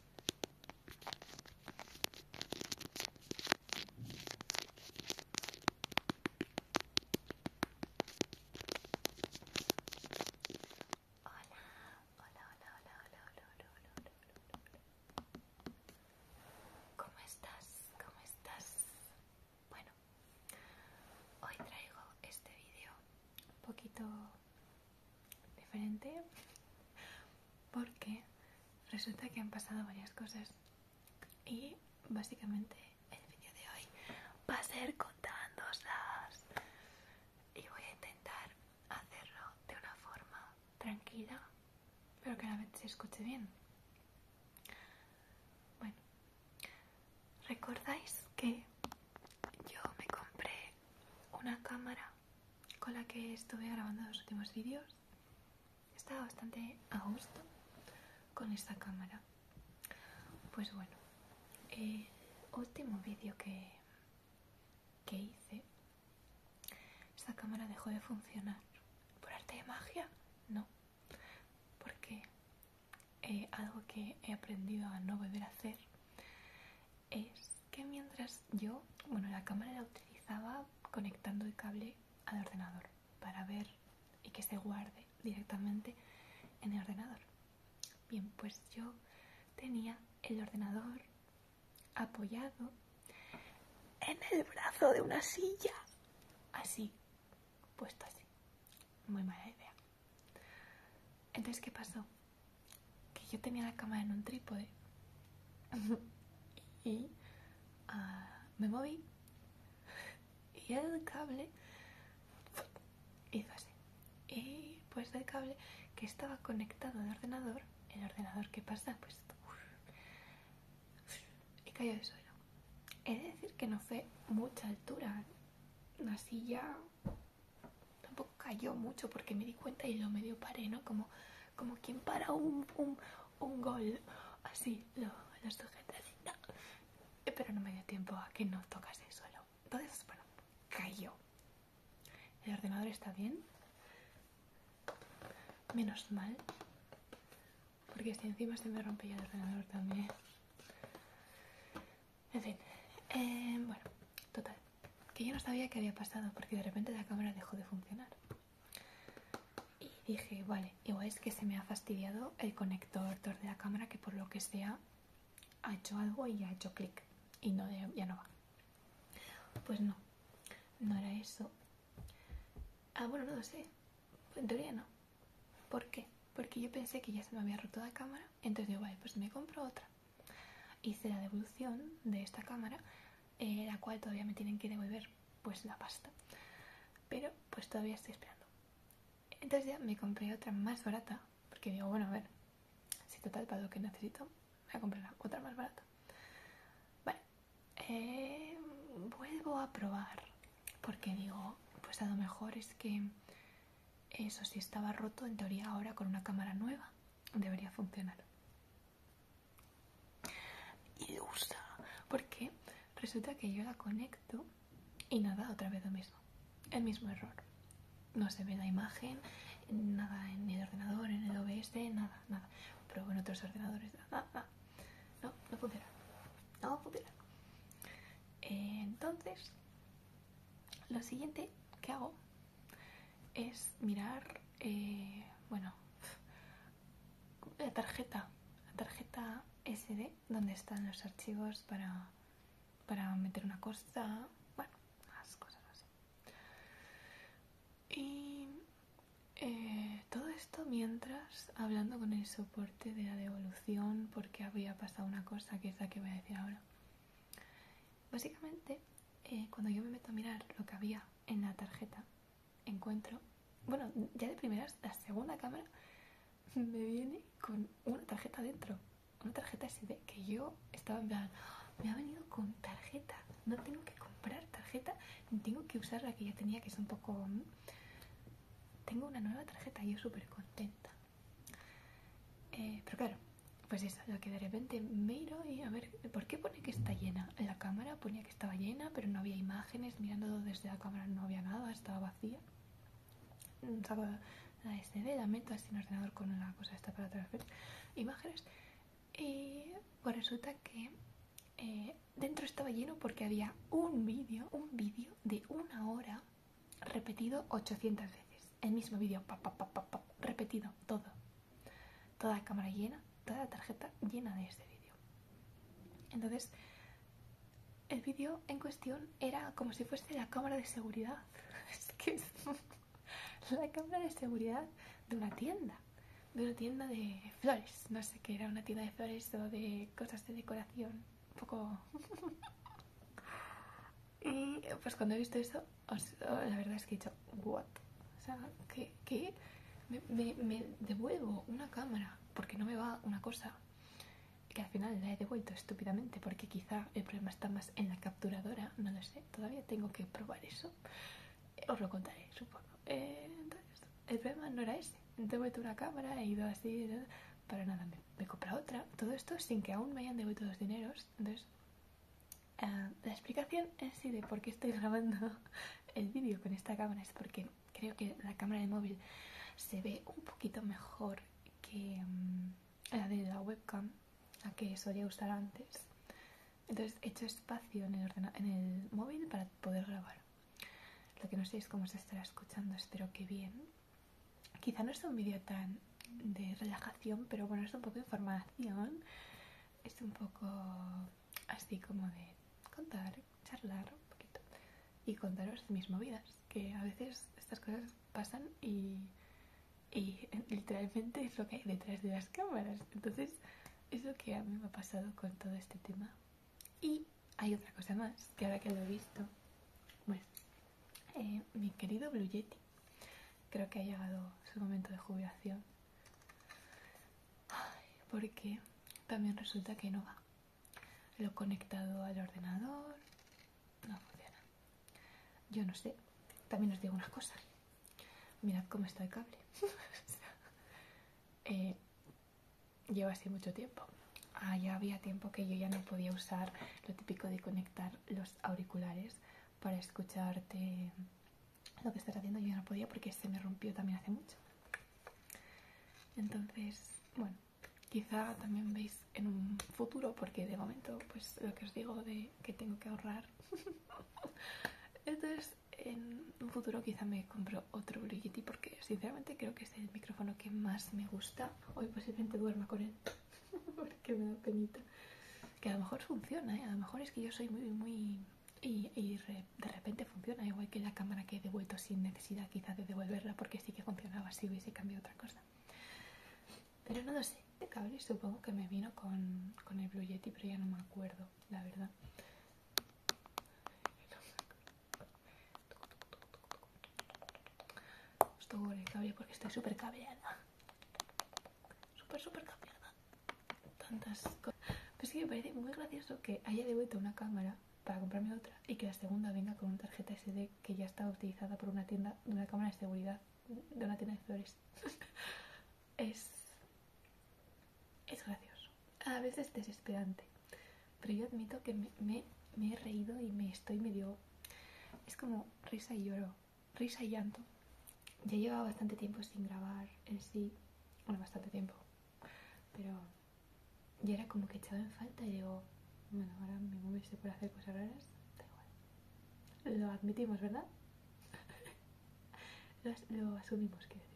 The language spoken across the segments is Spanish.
hola, hola, hola, hola, hola, hola, hola, hola, hola. ¿Cómo estás? ¿Cómo estás? Bueno, hoy traigo este vídeo un poquito diferente porque resulta que han pasado varias cosas y básicamente el vídeo de hoy va a ser contándoslas y voy a intentar hacerlo de una forma tranquila pero que a la vez se escuche bien bueno recordáis que yo me compré una cámara con la que estuve grabando los últimos vídeos. Estaba bastante a gusto con esta cámara. Pues bueno, el eh, último vídeo que, hice, esta cámara dejó de funcionar. ¿Por arte de magia? No. Porque eh, algo que he aprendido a no volver a hacer es que mientras yo, bueno, la cámara la utilizaba conectando el cable al ordenador para ver y que se guarde directamente en el ordenador. Bien, pues yo tenía el ordenador apoyado en el brazo de una silla, así, puesto así. Muy mala idea. Entonces, ¿qué pasó? Que yo tenía la cámara en un trípode y ah, me moví y el cable hizo así y pues el cable que estaba conectado al ordenador el ordenador que pasa pues y cayó de suelo he de decir que no fue mucha altura la silla tampoco cayó mucho porque me di cuenta y lo medio paré no como como quien para un, gol, así, lo, sujeta pero no me dio tiempo a que no tocase el suelo. Entonces, bueno, cayó. El ordenador está bien, menos mal, porque si encima se me rompía el ordenador también. En fin, eh, bueno, total, que yo no sabía que había pasado porque de repente la cámara dejó de funcionar. Y dije, vale, igual es que se me ha fastidiado el conector de la cámara que por lo que sea ha hecho algo y ha hecho clic y no ya no va. Pues no, no era eso. Ah, bueno, no lo sé. En teoría no. ¿Por qué? Porque yo pensé que ya se me había roto la cámara, entonces digo, vale, pues me compro otra. Hice la devolución de esta cámara eh, la cual todavía me tienen que devolver pues la pasta. Pero pues todavía estoy esperando. Entonces ya me compré otra más barata, porque digo, bueno, a ver, si total para lo que necesito, me a comprar otra más barata. Bueno, eh, vuelvo a probar, porque digo, pues a lo mejor es que eso si estaba roto, en teoría ahora con una cámara nueva debería funcionar y usa, Porque resulta que yo la conecto y nada, otra vez lo mismo. El mismo error. No se ve la imagen, nada en el ordenador, en el OBS, nada, nada. Pero en otros ordenadores, nada, No, no funciona. No funciona. Entonces, lo siguiente que hago es mirar eh, bueno, la tarjeta, la tarjeta SD donde están los archivos para, para meter una cosa, bueno, las cosas así. Y eh, todo esto mientras hablando con el soporte de la devolución porque había pasado una cosa que es la que voy a decir ahora. Básicamente, eh, cuando yo me meto a mirar lo que había en la tarjeta, encuentro, bueno, ya de primeras, la segunda cámara me viene con una tarjeta dentro, una tarjeta SD que yo estaba en plan, ah, me ha venido con tarjeta, no tengo que comprar tarjeta, tengo que usar la que ya tenía que es un poco... Mm, tengo una nueva tarjeta y yo súper contenta. Eh, pero claro, pues eso, lo que de repente miro y a ver, ¿por qué pone que está llena? La cámara pone estaba llena, pero no había imágenes, mirando desde la cámara no había nada, estaba vacía. Mm, Saco la SD, la meto así en ordenador con una cosa esta para transferir imágenes. Y pues resulta que eh, dentro estaba lleno porque había un vídeo, un vídeo de una hora repetido 800 veces. El mismo vídeo, repetido, todo toda la cámara llena, toda la tarjeta llena de este vídeo. Entonces, el vídeo en cuestión era como si fuese la cámara de seguridad. Es que la cámara de seguridad de una tienda, de una tienda de flores. No sé qué era, una tienda de flores o de cosas de decoración. Un poco. Y pues cuando he visto eso, la verdad es que he what? O sea, ¿qué? qué? Me, devuelvo una cámara porque no me va una cosa que al final la he devuelto estúpidamente porque quizá el problema está más en la capturadora, no lo sé, todavía tengo que probar eso, eh, os lo contaré, supongo. Eh, entonces, el problema no era ese, he devuelto una cámara, he ido así, eh, para nada, me, me he comprado otra, todo esto sin que aún me hayan devuelto los dineros, entonces Ah, la explicación en sí de por qué estoy grabando el vídeo con esta cámara es porque creo que la cámara de móvil se ve un poquito mejor que mm, la de la webcam, la que solía usar antes. Entonces he hecho espacio en el, en el móvil para poder grabar. Lo que no sé es cómo se estará escuchando, espero que bien. Quizá no es un vídeo tan de relajación, pero bueno, es un poco de información. Es un poco así como de contar, charlar un poquito y contaros mis movidas, que a veces estas cosas pasan y, literalmente es lo que hay detrás de las cámaras. Entonces es lo que a mí me ha pasado con todo este tema. Y hay otra cosa más, que ahora que lo he visto, bueno, eh, mi querido Blue creo que ha llegado su momento de jubilación porque también resulta que no va. Lo he conectado al ordenador, no funciona. Yo no sé, también os digo una cosa. Mirad cómo está el cable. Eh, lleva así mucho tiempo. Ah, ya había tiempo que yo ya no podía usar lo típico de conectar los auriculares para escucharte lo que estás haciendo yo no podía porque se me rompió también hace mucho. Entonces, bueno, quizá también veis en un futuro, porque de momento, pues lo que os digo de que tengo que ahorrar. Entonces, en un futuro quizá me compro otro Brigitte porque sinceramente creo que es el micrófono que más me gusta. Hoy posiblemente duerma con él porque me da penita. Que a lo mejor funciona, ¿eh? a lo mejor es que yo soy muy, muy y, de repente funciona, igual que la cámara que he devuelto sin necesidad quizás de devolverla porque sí que funcionaba si hubiese cambiado otra cosa. Pero no lo sé, de este cable supongo que me vino con, el Blue Yeti, pero ya no me acuerdo, la verdad. Estoy cable porque estoy súper cableada. Súper, súper cableada tantas cosas. Pero es que me parece muy gracioso que haya devuelto una cámara para comprarme otra y que la segunda venga con una tarjeta SD que ya estaba utilizada por una tienda de una cámara de seguridad de una tienda de flores. es. es gracioso. A veces desesperante. Pero yo admito que me, he reído y me estoy medio. Es como risa y lloro, risa y llanto. Ya llevaba bastante tiempo sin grabar en sí bueno, bastante tiempo, pero ya era como que echaba en falta y digo, bueno, ahora me móvil se hacer cosas raras, da igual. Lo admitimos, ¿verdad? lo, asumimos, quiero decir.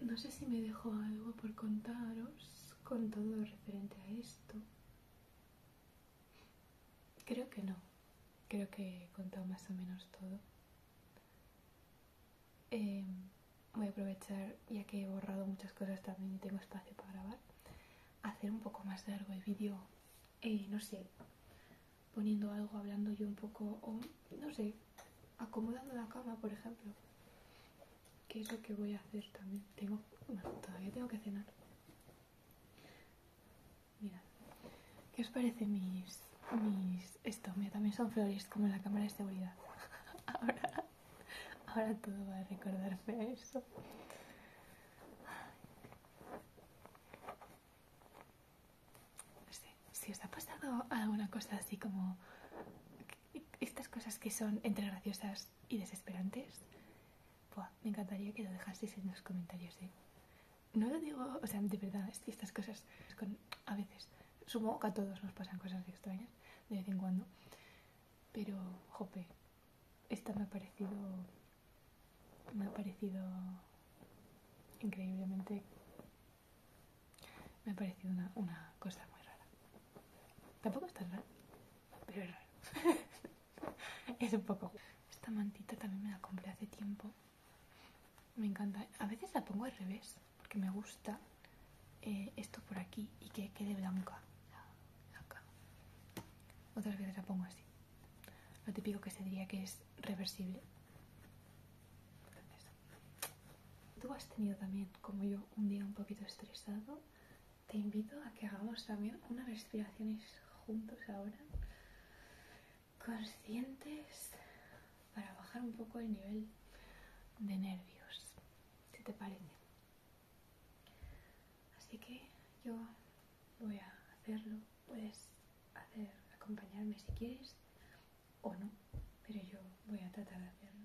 no sé si me dejo algo por contaros con todo referente a esto. Creo que no. Creo que he contado más o menos todo. Em, voy a aprovechar, ya que he borrado muchas cosas, también y tengo espacio para grabar, hacer un poco más largo el vídeo. no sé, poniendo algo, hablando yo un poco, o no sé, acomodando la cama, por ejemplo. ¿Qué es lo que voy a hacer también. Tengo, bueno, todavía tengo que cenar. Mirad, ¿qué os parece mis, mis, esto? Mira, también son flores como en la cámara de seguridad. ahora, ahora todo va a recordarse a eso. No sé, si os ha pasado alguna cosa así como estas cosas que son entre graciosas y desesperantes, me encantaría que lo dejaseis en los comentarios. de ¿eh? No lo digo, o sea, de verdad, estas cosas a veces, supongo que a todos nos pasan cosas extrañas de vez en cuando, pero, jope, esta me ha parecido, me ha parecido increíblemente, me ha parecido una, una cosa muy rara. Tampoco está tan rara, pero es un poco... Esta mantita también me la compré hace tiempo. Me encanta. A veces la pongo al revés, porque me gusta eh, esto por aquí y que quede blanca. Otras veces la pongo así. Lo típico que se diría que es reversible. Tú has tenido también, como yo, un día un poquito estresado te invito a que hagamos también unas respiraciones juntos ahora, conscientes, para bajar un poco el nivel de nervios, si te parece. Así que yo voy a hacerlo, puedes hacer acompañarme si quieres o no, pero yo voy a tratar de hacerlo.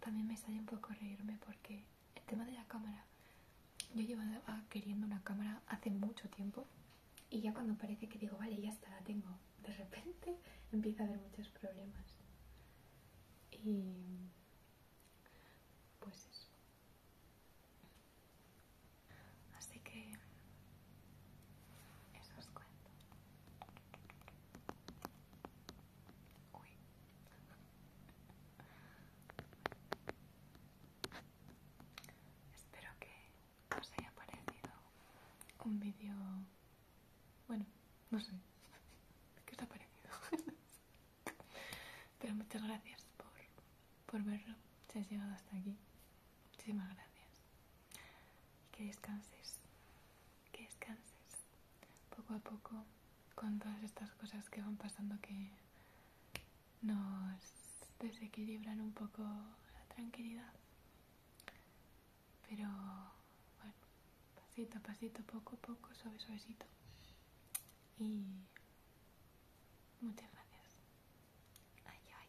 También me sale un poco reírme porque el tema de la cámara, yo llevaba queriendo una cámara hace mucho tiempo y ya cuando parece que digo, vale, ya está, la tengo, de repente empieza a haber muchos problemas. Y pues eso. Así que eso os cuento. Espero que os haya parecido un vídeo... Bueno, no sé. ¿Qué os ha parecido? Pero muchas gracias por, por verlo. Si has llegado hasta aquí. Muchísimas gracias y que descanses, que descanses poco a poco con todas estas cosas que van pasando que nos desequilibran un poco la tranquilidad. Pero bueno, pasito a pasito, poco a poco, suave, suavecito. Y muchas gracias. Ay, ay,